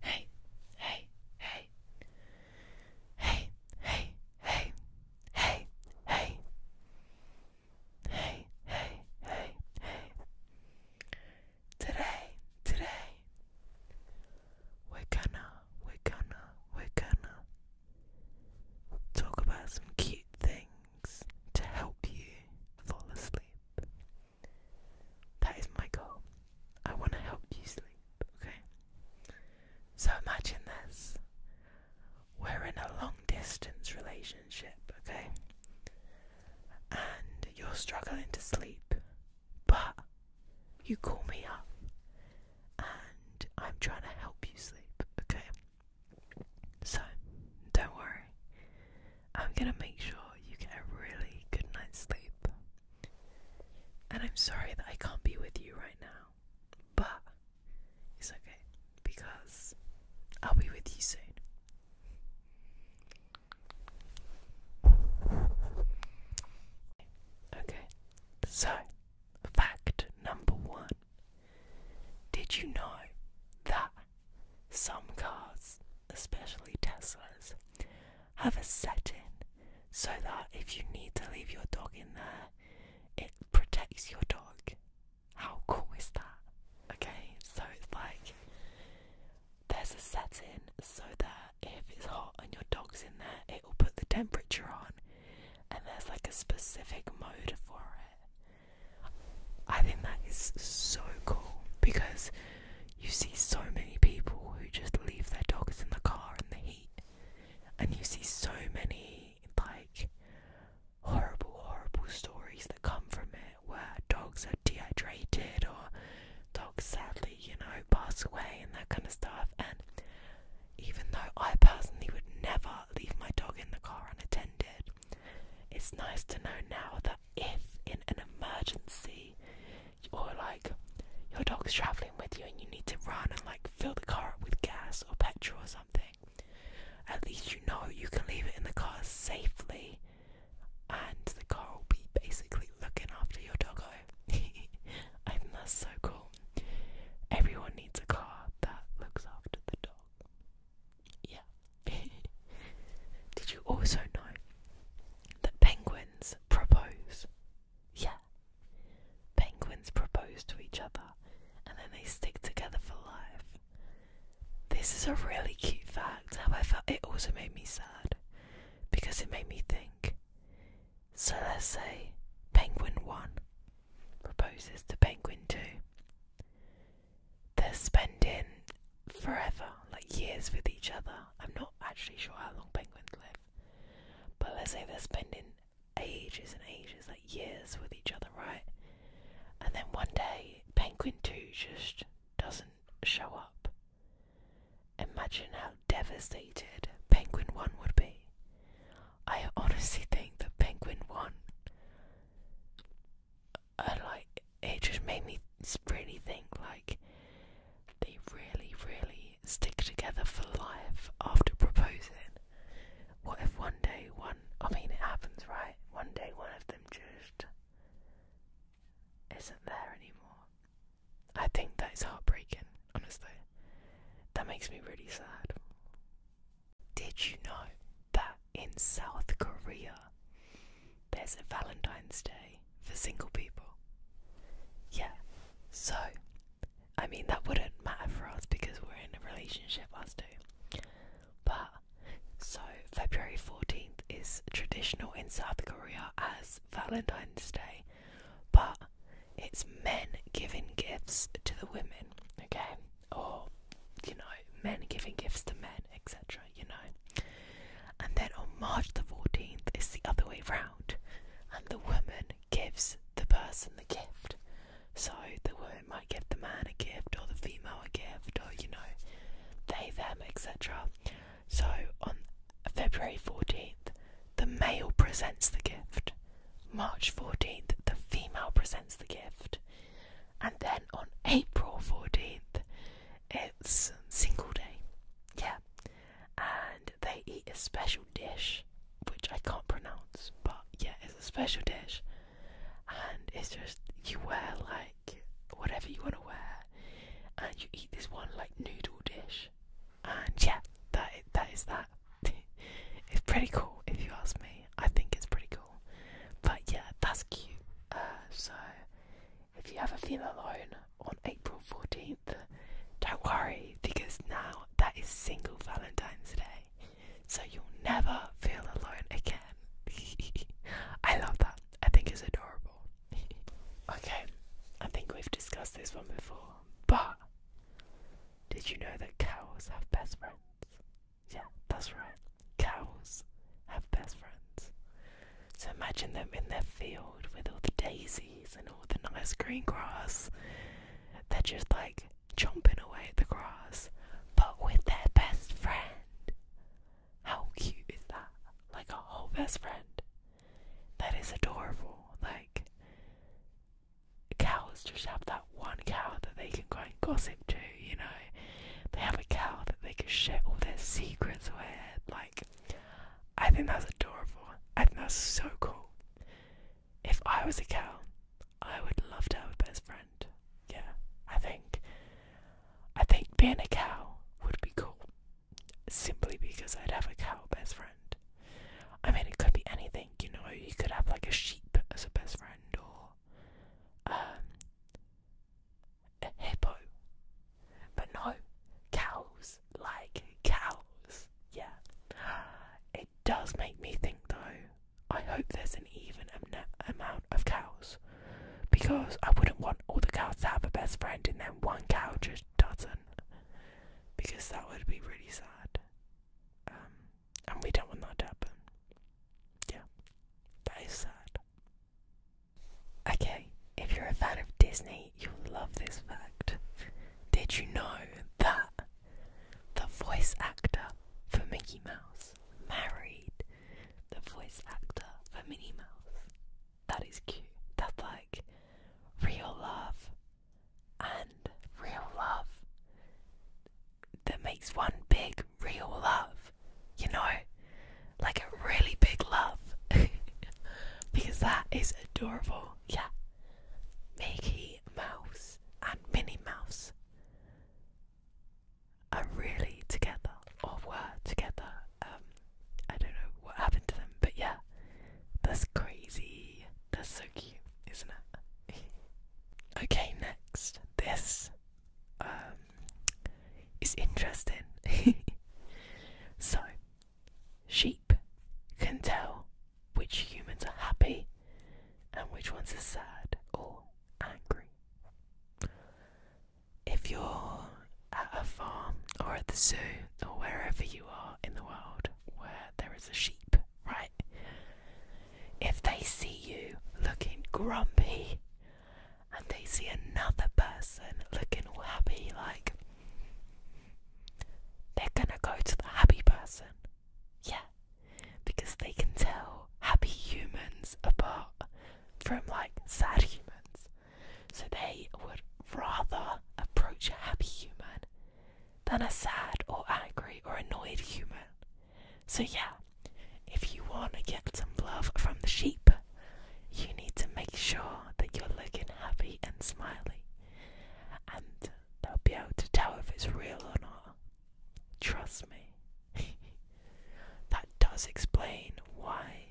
Hey, hey, hey. Hey, hey, hey. Hey, hey. Hey, hey, hey, hey. Today, today. We're gonna, we're gonna, we're gonna talk about some cute things to help you fall asleep. That is my goal. I want to help you sleep, okay? So imagine this. We're in a long distance relationship, okay? And you're struggling to sleep, but you call me up and I'm trying to help you sleep, okay? So, don't worry. I'm gonna make sure you get a really good night's sleep. And I'm sorry that I can't be with you right now, but it's okay because I'll be with you soon. Okay, so fact number one Did you know that some cars, especially Teslas, have a setting so that if you need to leave your dog in there, it protects your dog. How cool is that? Okay, so it's like there's a setting so that if it's hot and your dog's in there, it will put the temperature on, and there's like a specific mode for it. I think that is so cool because you see so many people who just leave their dogs in the car in the heat, and you see so many like horrible, horrible stories that come from it where dogs are dehydrated or dogs sadly, you know, pass away and that kind of stuff. And even though I personally would never leave my dog in the car unattended, it's nice to know now that if in an emergency or like your dog's traveling with you and you need to run and like fill the car up with gas or petrol or something, at least you know you can leave it in the car safely and the car will be basically looking after your doggo. I think that's so cool. Everyone needs a car that looks after the dog. Yeah. Did you also know that penguins propose? Yeah. Penguins propose to each other and then they stick together for life. This is a really cute fact, however, it also made me sad because it made me think. So let's say penguin 1 proposes to penguin 2 they're spending forever, like years with each other. I'm not actually sure how long penguins live, but let's say they're spending ages and ages, like years with each other, right? And then one day, penguin 2 just doesn't show up. Imagine how devastated penguin 1 would be. I honestly think that penguin 1 uh, like it just made me really think like they really really stick together for life after proposing. What if one day one I mean it happens right? One day one of them just isn't there anymore. I think that is heartbreaking, honestly. That makes me really sad. Did you know that in South Korea there's a Valentine's Day for single people? Yeah, so I mean, that wouldn't matter for us because we're in a relationship, us two. But so February 14th is traditional in South Korea as Valentine's Day, but it's men giving gifts to the women, okay? or you know, men giving gifts to men, etc. You know, and then on March the 14th, it's the other way round, and the woman gives the person the gift. So the woman might give the man a gift, or the female a gift, or you know, they, them, etc. So on February 14th, the male presents the gift. March 14th, the female presents the gift. And then on April 14th, it's single day. Yeah. And they eat a special dish, which I can't pronounce, but yeah, it's a special dish. And it's just, you wear like whatever you want to wear, and you eat this one like noodle dish. And yeah, that that is that. it's pretty cool if you ask me. I think it's pretty cool. But yeah, that's cute. Uh, so if you ever feel alone on April 14th, don't worry because now that is single Valentine's Day. So you'll never feel alone again. I love that. I think it's adorable. okay, I think we've discussed this one before, but did you know that cows have best friends? Yeah, that's right. Cows have best friends. So imagine them in their field with all the daisies and all the nice green grass. They're just like chomping away at the grass, but with their best friend. How cute is that? Like a whole best friend. That is adorable. Like, cows just have that one cow that they can go and gossip to, you know. They have a cow that they can share all their secrets with. Like, I think that's adorable. I think that's so cool. If I was a cow, I would love to have a best friend. Yeah, I think. I think being a cow would be cool. Simply because I'd have a cow best friend. I mean, it could be anything, you know, you could have like a sheep as a best friend or um, a hippo. But no, cows, like cows, yeah. It does make me think though, I hope there's an even amount of cows because I wouldn't want all the cows to have a best friend and then one cow just doesn't because that would be really sad. Um, and we don't want that to happen. Yeah, that is sad. Okay, if you're a fan of Disney, you'll love this fact. Did you know that the voice actor for Mickey Mouse married the voice actor for Minnie Mouse? That is cute. That's like real love and real love that makes one big real love, you know, like a really big love because that is adorable. Yeah, Mickey Mouse and Minnie Mouse are really together or were together. Um, I don't know what happened to them, but yeah, that's crazy. That's so cute, isn't it? okay, next. This um, is interesting. so, sheep can tell which humans are happy and which ones are sad or angry. If you're at a farm or at the zoo or wherever you are in the world where there is a sheep, right? If they see you looking grumpy and they see another person looking all happy, like they're gonna go to the happy person. Yeah, because they can tell happy humans apart from like sad humans so they would rather approach a happy human than a sad or angry or annoyed human. So, yeah, if you want to get some love from the sheep, you need to make sure that you're looking happy and smiley, and they'll be able to tell if it's real or not. Trust me. that does explain why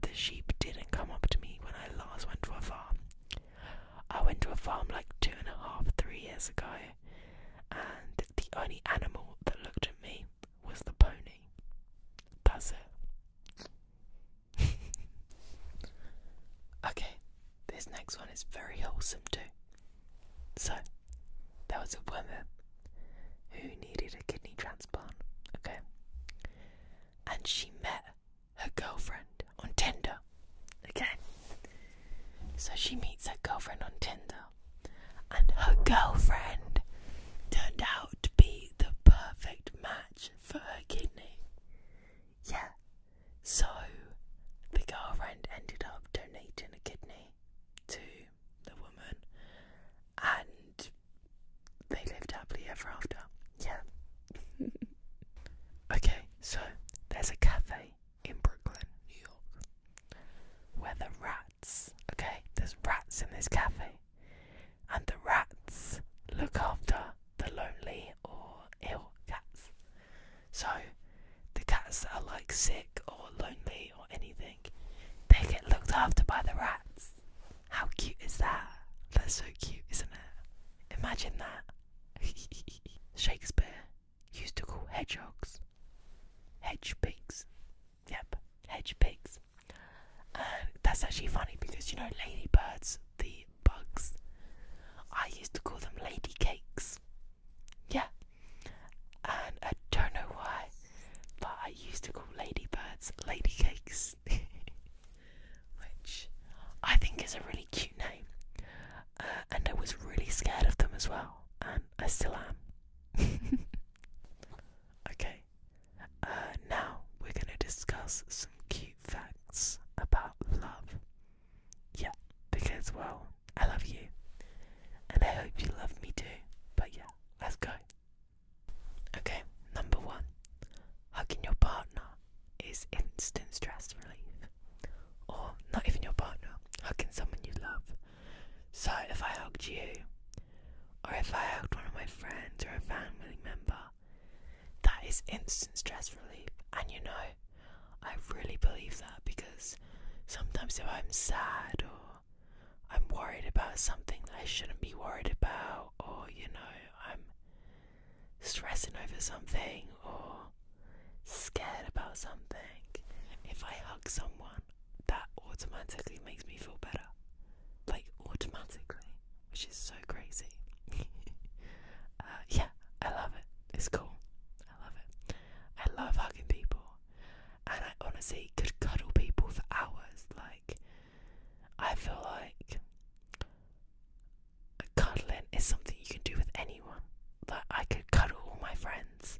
the sheep didn't come up to me when I last went to a farm. I went to a farm like two and a half, three years ago, and the only animal that looked at me was the pony. That's it. okay, this next one is very wholesome too. So, there was a woman who needed a kidney transplant, okay? and she met her girlfriend on Tinder. Okay? So she meets her girlfriend on Tinder, and her girlfriend turned out to be the perfect match for her kidney. Yeah. So the girlfriend ended up donating a kidney to the woman, and they lived happily ever after. Yeah. okay, so there's a cafe in Brooklyn, New York, where the rats, okay, there's rats in this cafe, and the rats look after the lonely or ill cats. So the cats that are like sick or lonely or anything they get looked after by the rats. How cute is that? That's so cute, isn't it? Imagine that. Shakespeare used to call hedgehogs hedge pigs. Yep, hedge pigs. that's actually funny because you know, ladybirds, the bugs, I used to call them lady cakes. Yeah. And I don't know why but I used to call ladybirds ladycakes, which I think is a really cute name. Uh, and I was really scared of them as well, and I still am. okay, uh, now we're going to discuss some cute facts about love. Yeah, because, well, I love you, and I hope you love me too. But yeah, let's go. Okay, number one hugging your partner is instant stress relief. Or not even your partner, hugging someone you love. So if I hugged you, or if I hugged one of my friends or a family member, that is instant stress relief. And you know, I really believe that because sometimes if I'm sad or I'm worried about something that I shouldn't be worried about, or you know, I'm stressing over something or scared about something. If I hug someone, that automatically makes me feel better. Like, automatically, which is so crazy. uh, yeah, I love it. It's cool. I love it. I love hugging people and I honestly could cuddle people for hours. Like, I feel like cuddling is something you can do with anyone. Like, I could cuddle all my friends,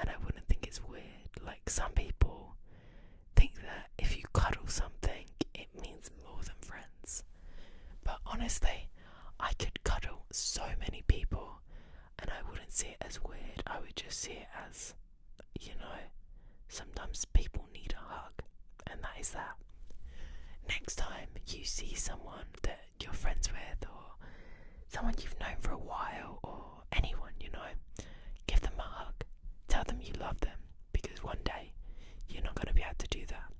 and I wouldn't think it's weird. Like, some people think that if you cuddle something, it means more than friends. But honestly, I could cuddle so many people and I wouldn't see it as weird, I would just see it as, you know, sometimes people need a hug, and that is that. Next time you see someone that you're friends with, or someone you've known for a while, or anyone, you know, give them a hug, tell them you love them, because one day you're not going to be able to do that.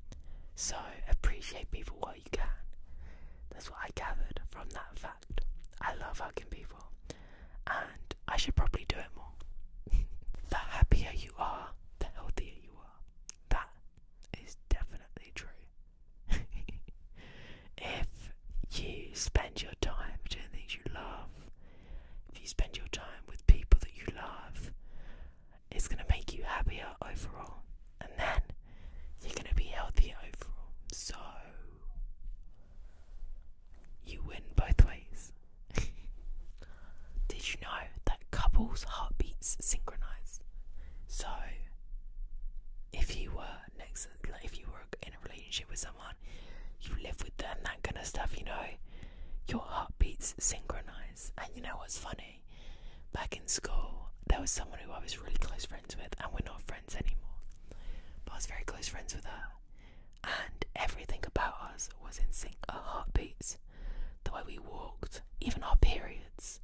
So appreciate people while you can. That's what I gathered from that fact. I love hugging people, and I should probably do it more. the happier you are, the healthier you are. That is definitely true. if you spend your time doing things you love, if you spend your time with people that you love, it's going to make you happier overall and then you're gonna be healthy overall. So you win both ways. Did you know that couples' heartbeats synchronize? So if you were next, if you were in a relationship with someone, you live with them, that kind of stuff, you know, your heartbeats synchronize. And you know what's funny? back in school there was someone who I was really close friends with and we're not friends anymore. But I was very close friends with her and everything about us was in sync. Our heartbeats, the way we walked, even our periods.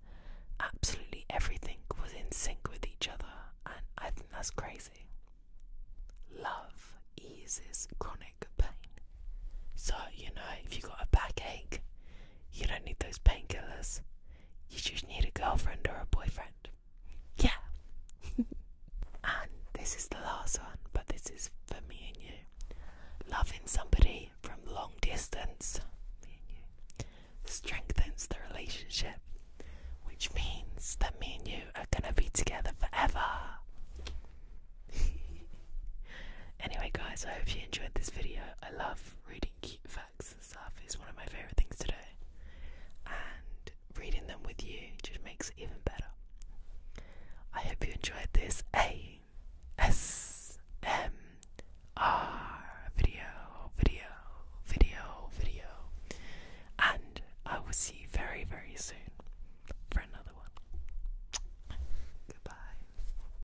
Absolutely everything was in sync with each other and I think that's crazy. Love eases chronic pain. So, you know, if you've got a backache, you don't need those painkillers. You just need a girlfriend or a boyfriend. Yeah. and this is the last one, but this is for me and you. Loving somebody from long distance, me and you, strengthens the relationship, which means that me and you are gonna be together forever. anyway, guys, I hope you enjoyed this video. I love reading cute facts and stuff is one of my favorite things to do, and reading them with you just makes it even better. I hope you enjoyed this A S M R video, video, video, video, and I will see you very, very soon for another one. Goodbye.